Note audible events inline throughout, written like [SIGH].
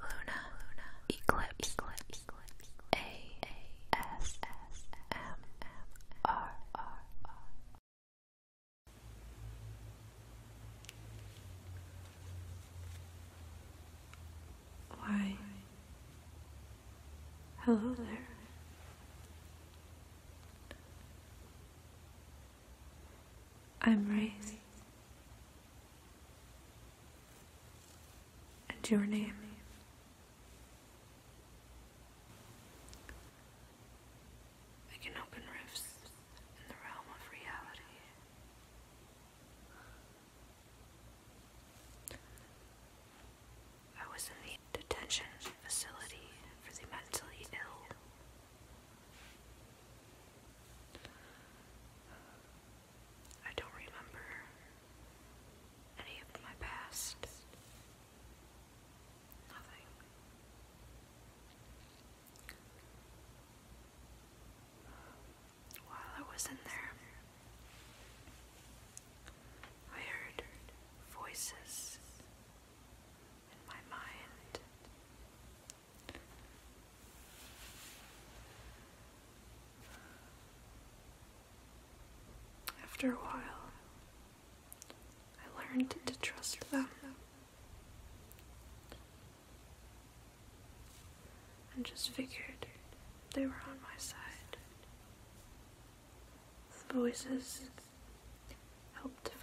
Luna, Eclipse, Eclipse, Why? Hello there. I'm Raze and your name. I can open rifts in the realm of reality. I was in the detention facility for the mentally ill I don't remember any of my past. Nothing. While I was in there, I heard voices in my mind after a while, I learned to trust them and just figured they were on my side. The voices helped define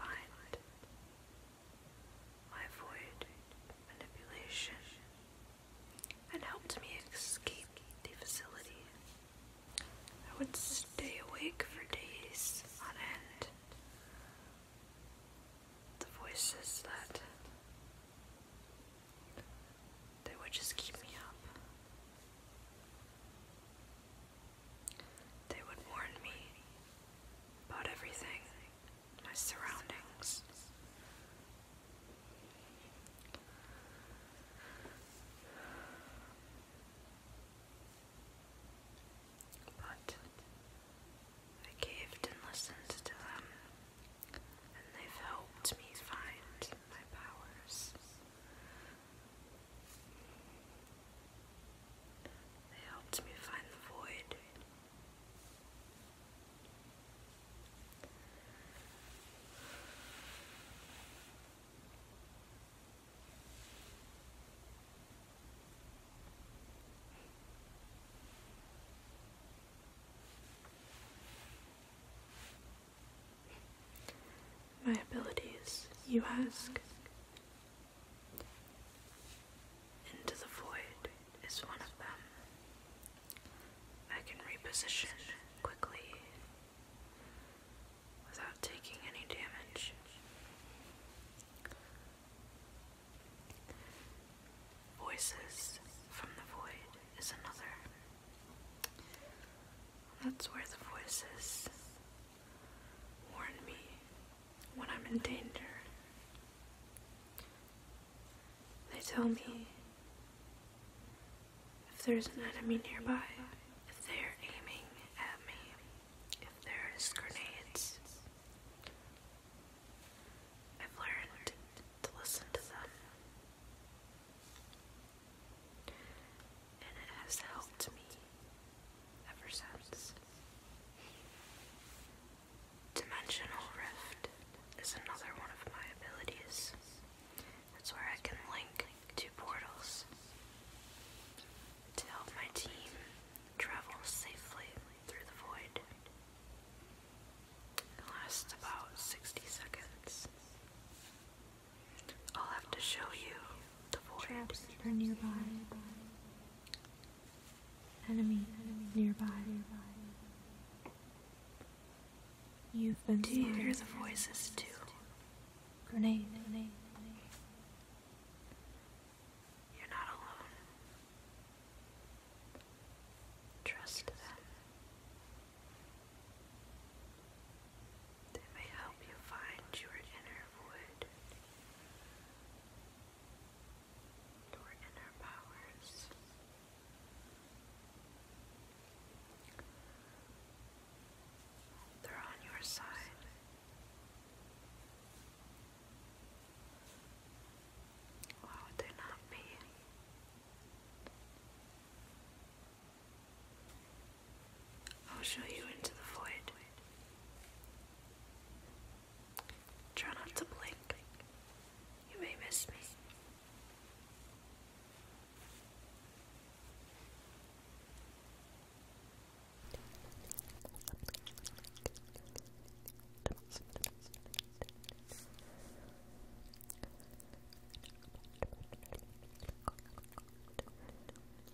I avoided manipulation and helped me escape the facility. I would stay awake for days on end. The voices that they would just keep me up. They would warn me about everything my surroundings. But I caved and listened to them, and they've helped me find my powers. They helped me find the void my abilities, you ask. Into the Void is one of them. I can reposition quickly without taking any damage. Voices from the Void is another. That's where the voices warn me when I'm in danger. They tell me if there's an enemy nearby, if they're aiming at me, if there's grenades. I've learned to listen to them. And it has helped me ever since. Dimensional Rift is another one of my abilities. That's where I can link two portals to help my team travel safely through the void. It lasts about 60 seconds. I'll have to show you the void. Traps are nearby enemy nearby. You've been Do you hear the voices too? Grenade. Grenade. You're not alone. Trust them. They may help you find your inner void your inner powers. They're on your side. Why would they not be? I'll show you into the void. Try not to blink. You may miss me. [LAUGHS]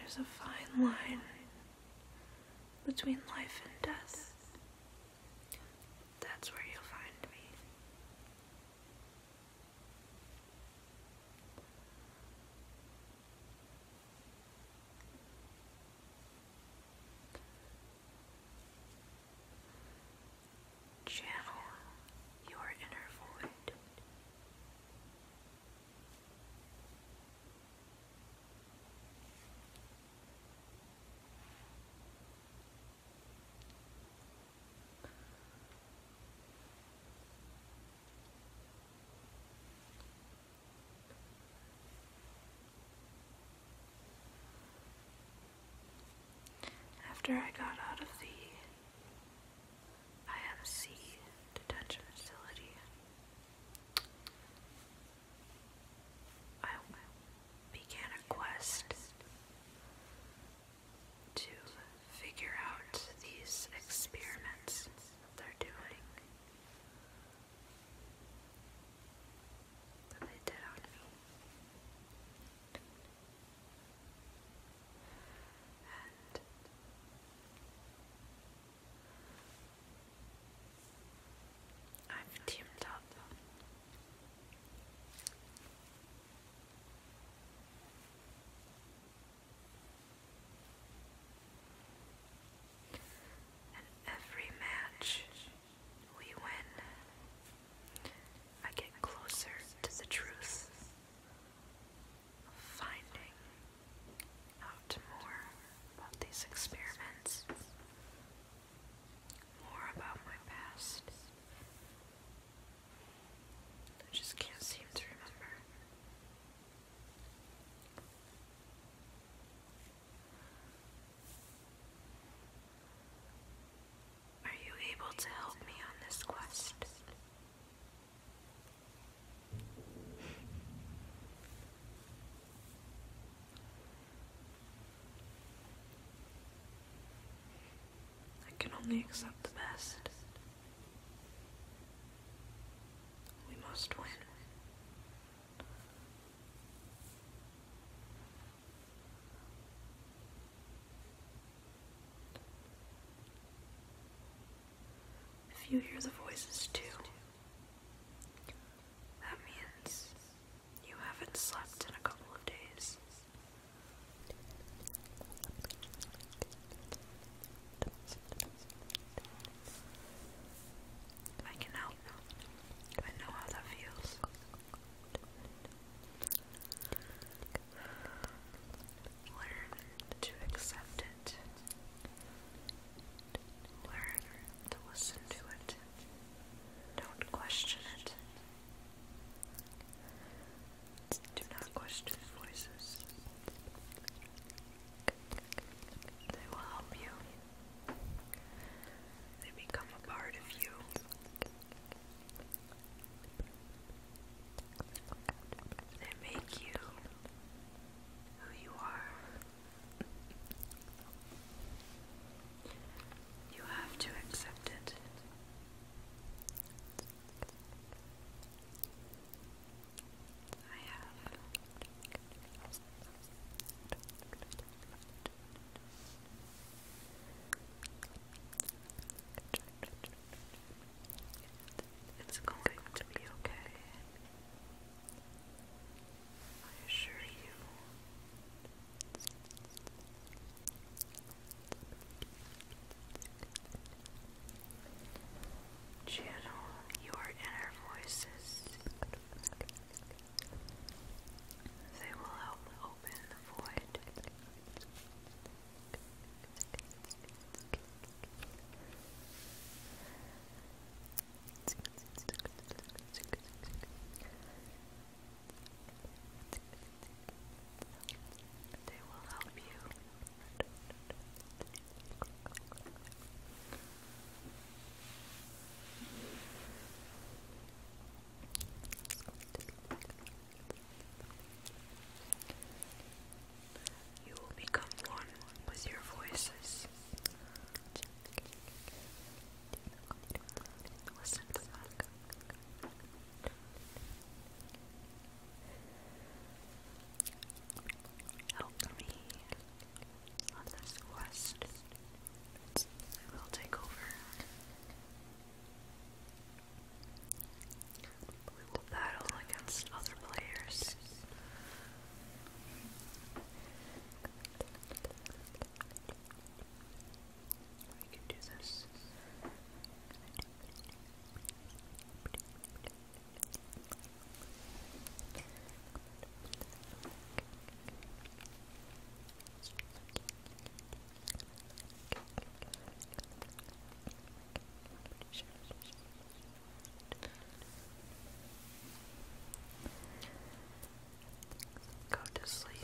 There's a fine line between life and death. That's where you'll find me. Channel your inner void. After I got out of the IMC detention facility, I began a quest to figure out these experiments they're doing that they did on me. And I've teamed up. And every match we win, I get closer to the truth, finding out more about these experiments, more about my past, I just can't seem to remember. Are you able to help me on this quest? I can only accept the best. We must win. If you hear the voices too, that means you haven't slept in a couple of days. I can help. I know how that feels. Learn to accept it. Learn to listen to it. Don't question it. Do not question voices. They will help you. They become a part of you. They make you who you are. You have to accept it. I have it's going to be okay. I assure you. Channel your inner voices. They will help open the void. They will help you you will become one with your voices. Listen to them. Help me on this quest. I will take over. We will battle against other players. We can do this. Go to sleep.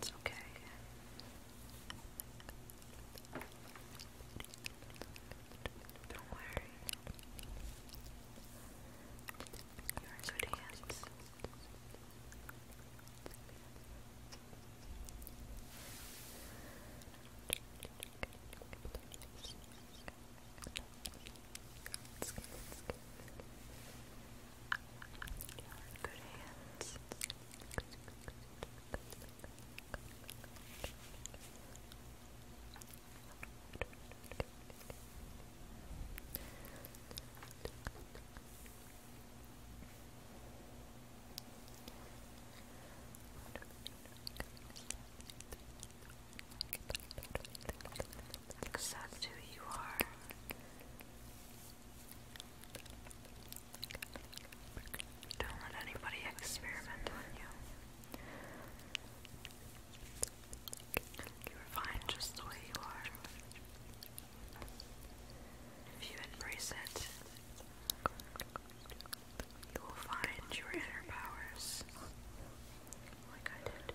It's okay. It's okay. Don't worry. You're good hands. Good hands. Good, good, Accept who you are. Don't let anybody experiment on you. You're fine just the way you are. If you embrace it, you will find your inner powers like I did.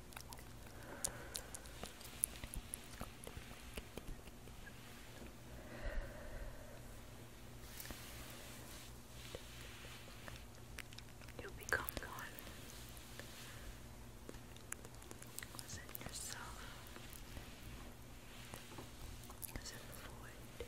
You become one within yourself, within the void.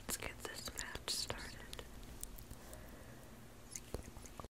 Let's get this match started.